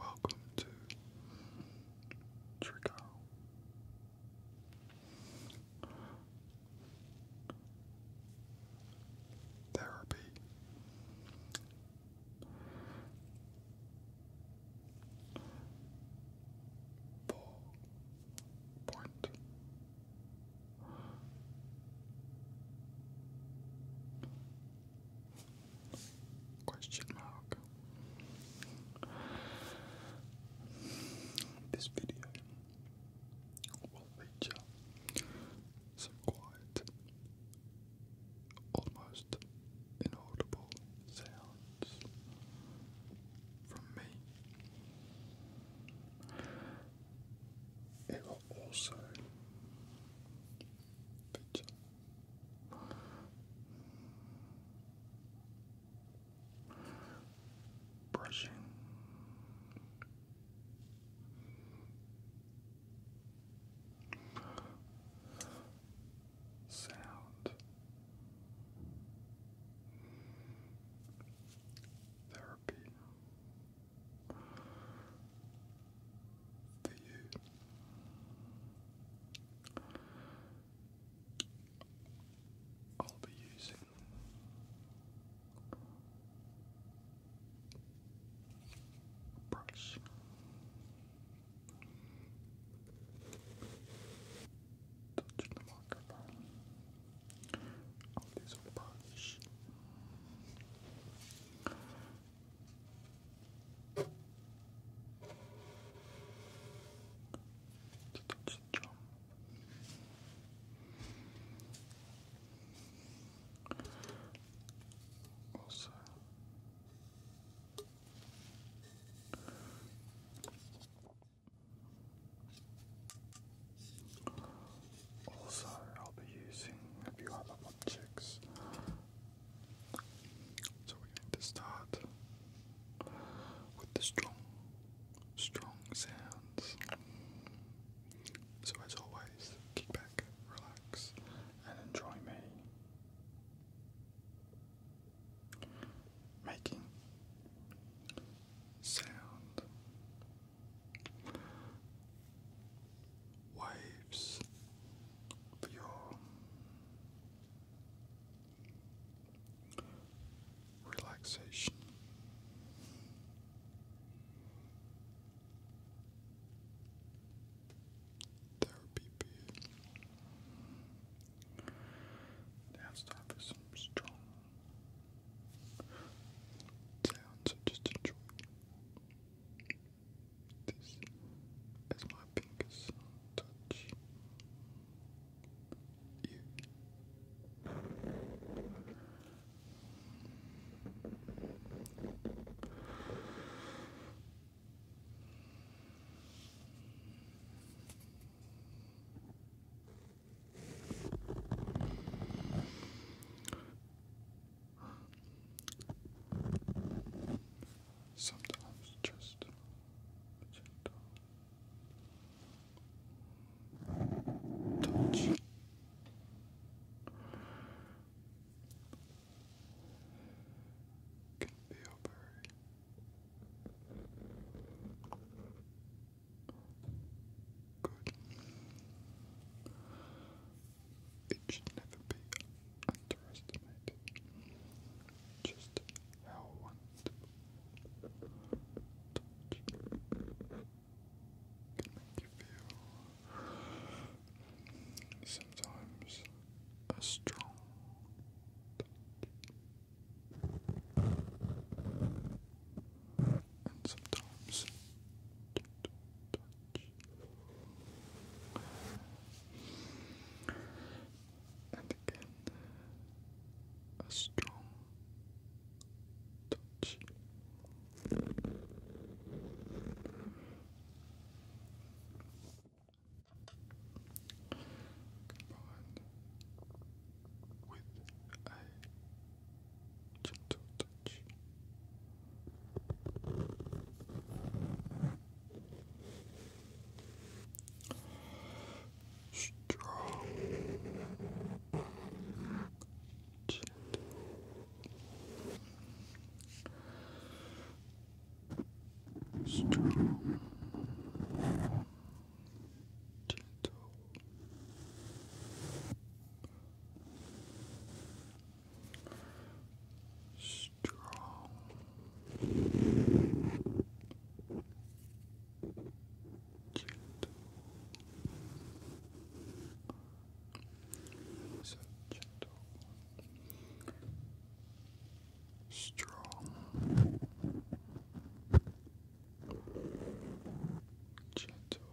Welcome to Trickle. Therapy. For point. Question mark. This video will feature some quiet, almost inaudible sounds from me. It will also feature brushing. Sound Therapy for you. I'll be using brush touch you marker line. All these are polish. To touch Also, also, I'll be using a few other objects. So we're going to start with the strong, strong sounds. So as always, kick back, relax, and enjoy me making sound waves for relaxation. Therapy beer. Now strong sounds, just enjoy. This is my fingers touch you. Sometimes just gentle touch. Can feel very Good. It should never be underestimated. Just how wonderful can make you feel sometimes a strong and sometimes And again, a strong touch. Combined with a gentle touch. Strong, gentle, strong, gentle strong gentle so gentle strong, gentle. Strong, gentle,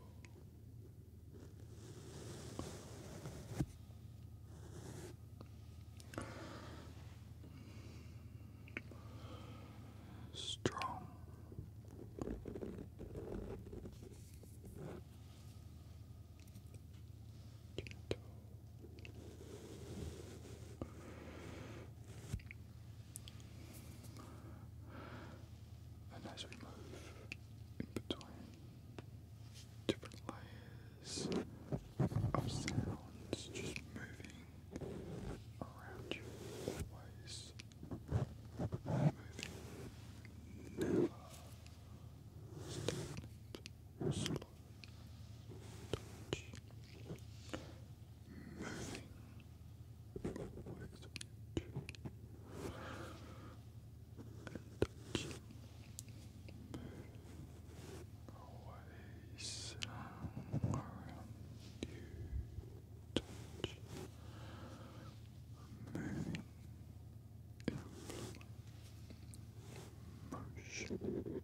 and as we move in between different layers of sounds, just moving around you always, moving never stagnant, touch, moving with touch, and touch, moving away somewhere around you, touch, moving in motion. Touch.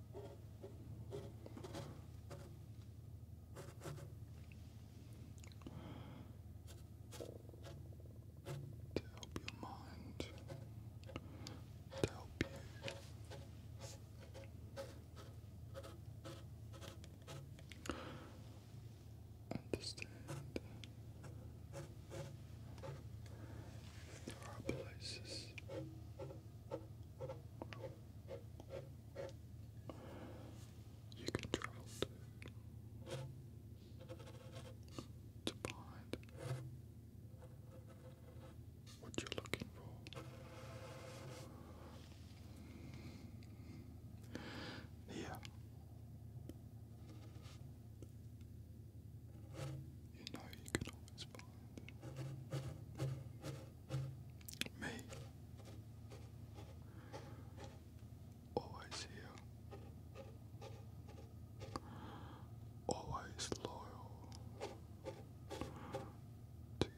To help your mind, to help you. Understand there are places you can travel to to find what you're looking for. Yeah. You know you can always find me. Always here. Always loyal to you.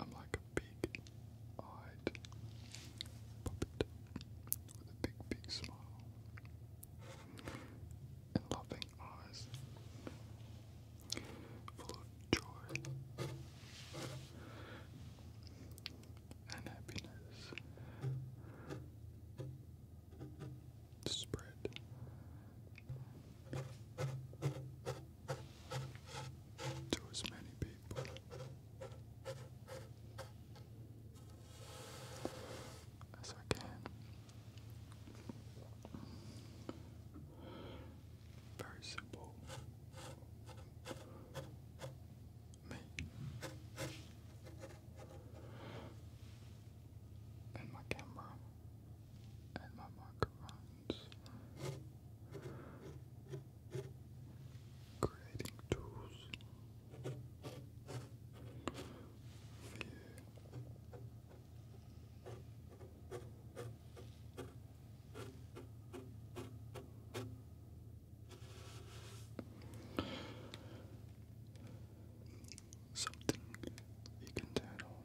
I'm like a big eyed puppet with a big, big smile and loving eyes full of joy and happiness spread. To as many people as I can. Very simple. Me and my camera and my microphones creating tools Something you can turn on.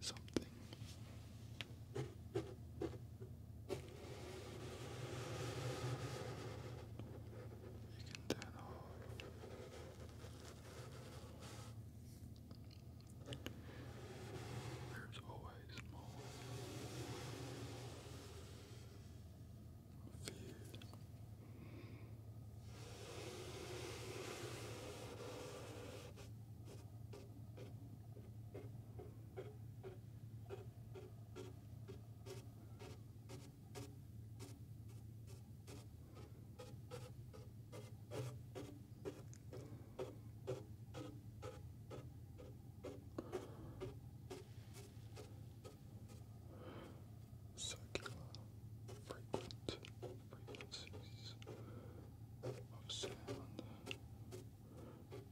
Something. You can turn off. There's always more. Fear. Fear. Circular frequent frequencies of sound moving.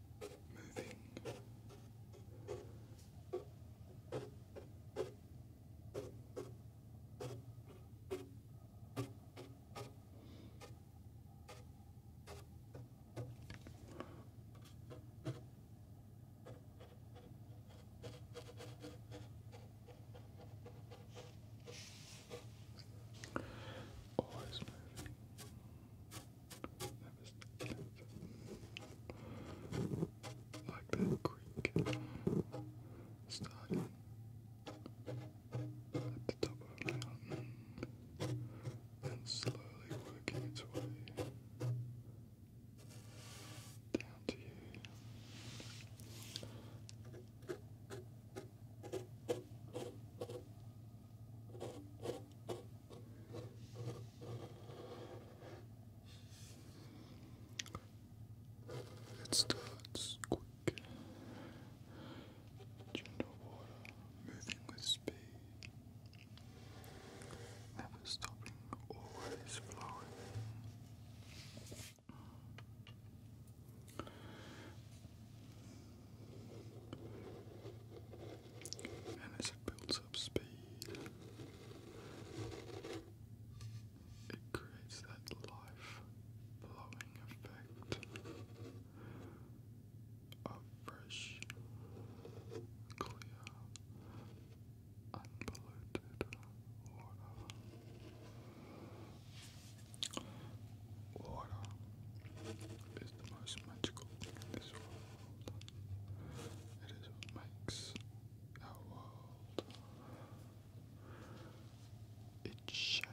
Always moving. Like that creek starting at the top of a mountain and slowly working its way down to you. It starts quick, gentle water moving with speed, never stopping, always flowing. And as it builds up speed, it creates that life blowing effect of fresh, clear, unpolluted water. Water is the most magical thing in this world. It is what makes our world. It shapes.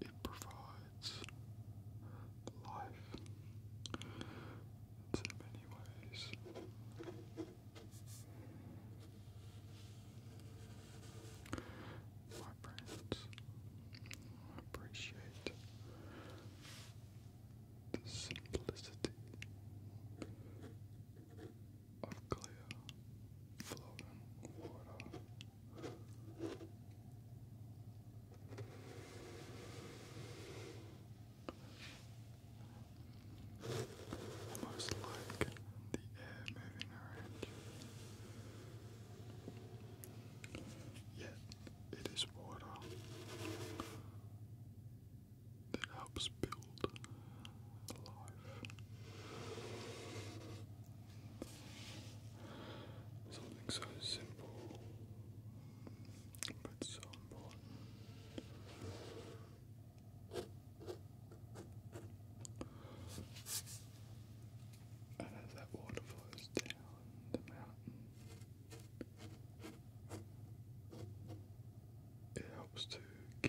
It provides life in many ways. My friends, appreciate the simplicity of clear floating water. Almost like the air moving around you. Yet it is water that helps build life. Something so simple, but so important. And as that water flows down the mountain, it helps to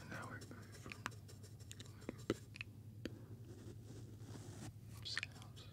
And now we're going from a little bit of sounds. Oh.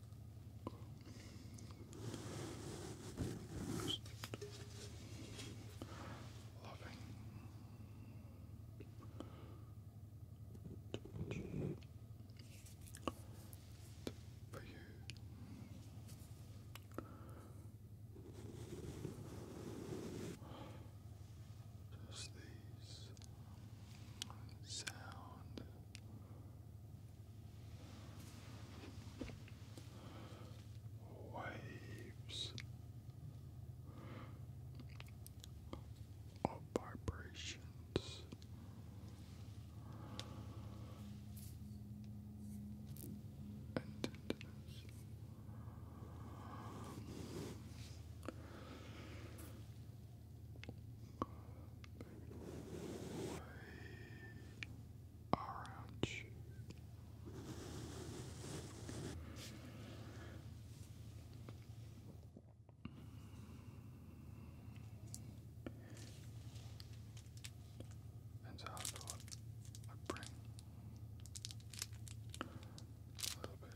Just loving for you. Just these sound waves of vibrations. And tenderness orange. And so I thought I'd bring a little bit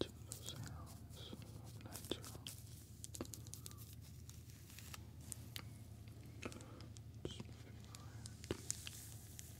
To the sounds nature. Just moving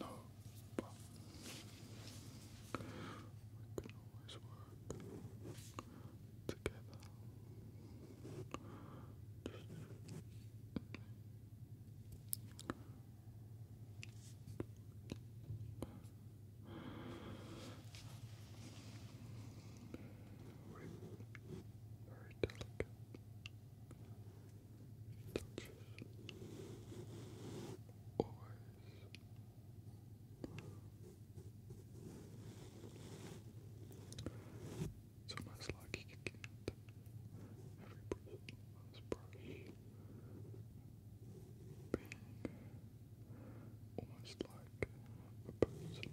No. But we can always work together very It's almost like you can get every person on this being almost like a person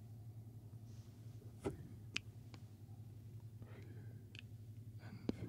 for you, for you, and for you.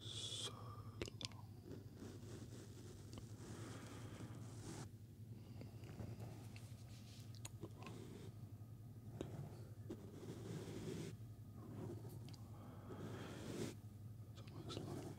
so long. It's almost like tick tock, tick tock, tick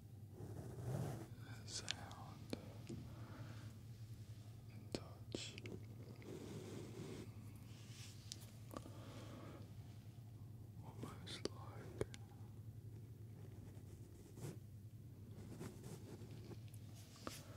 sound and touch. Almost like I recreated invented for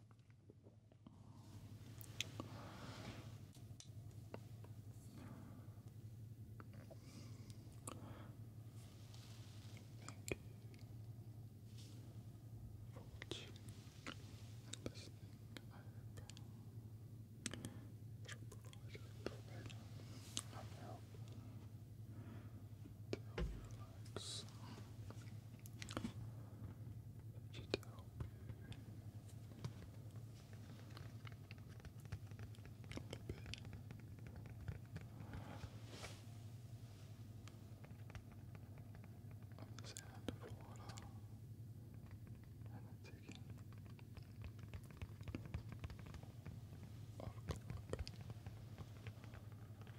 Thank you for watching and listening. I hope it provided information and just to help you a bit. Of the sound of water and the ticking of clock.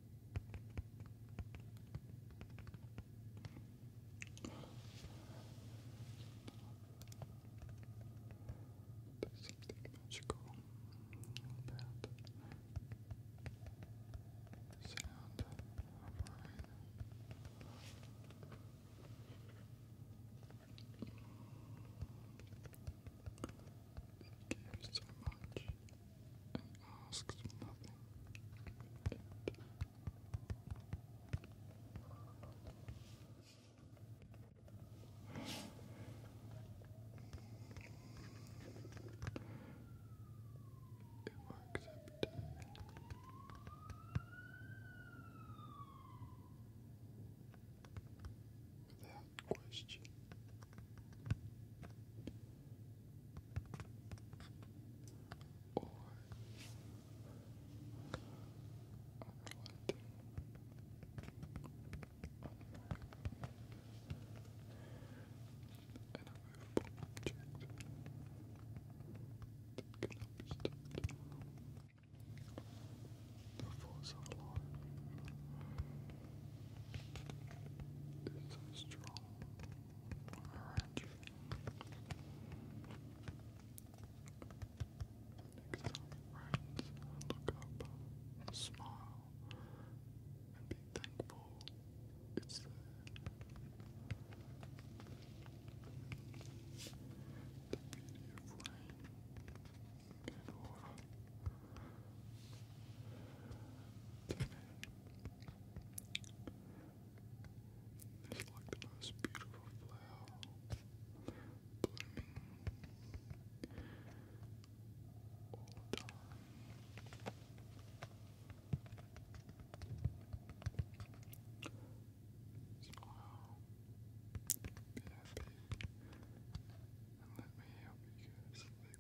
something magical sound Thank you so much. I asked nothing. It works Without question or unwanted and a movable object that cannot be stopped the force of law is so strong Alright. Next look up, smile, and be thankful it's The beauty of rain and water it's like the most beautiful flower blooming all the Smile, be happy, and let me help you guys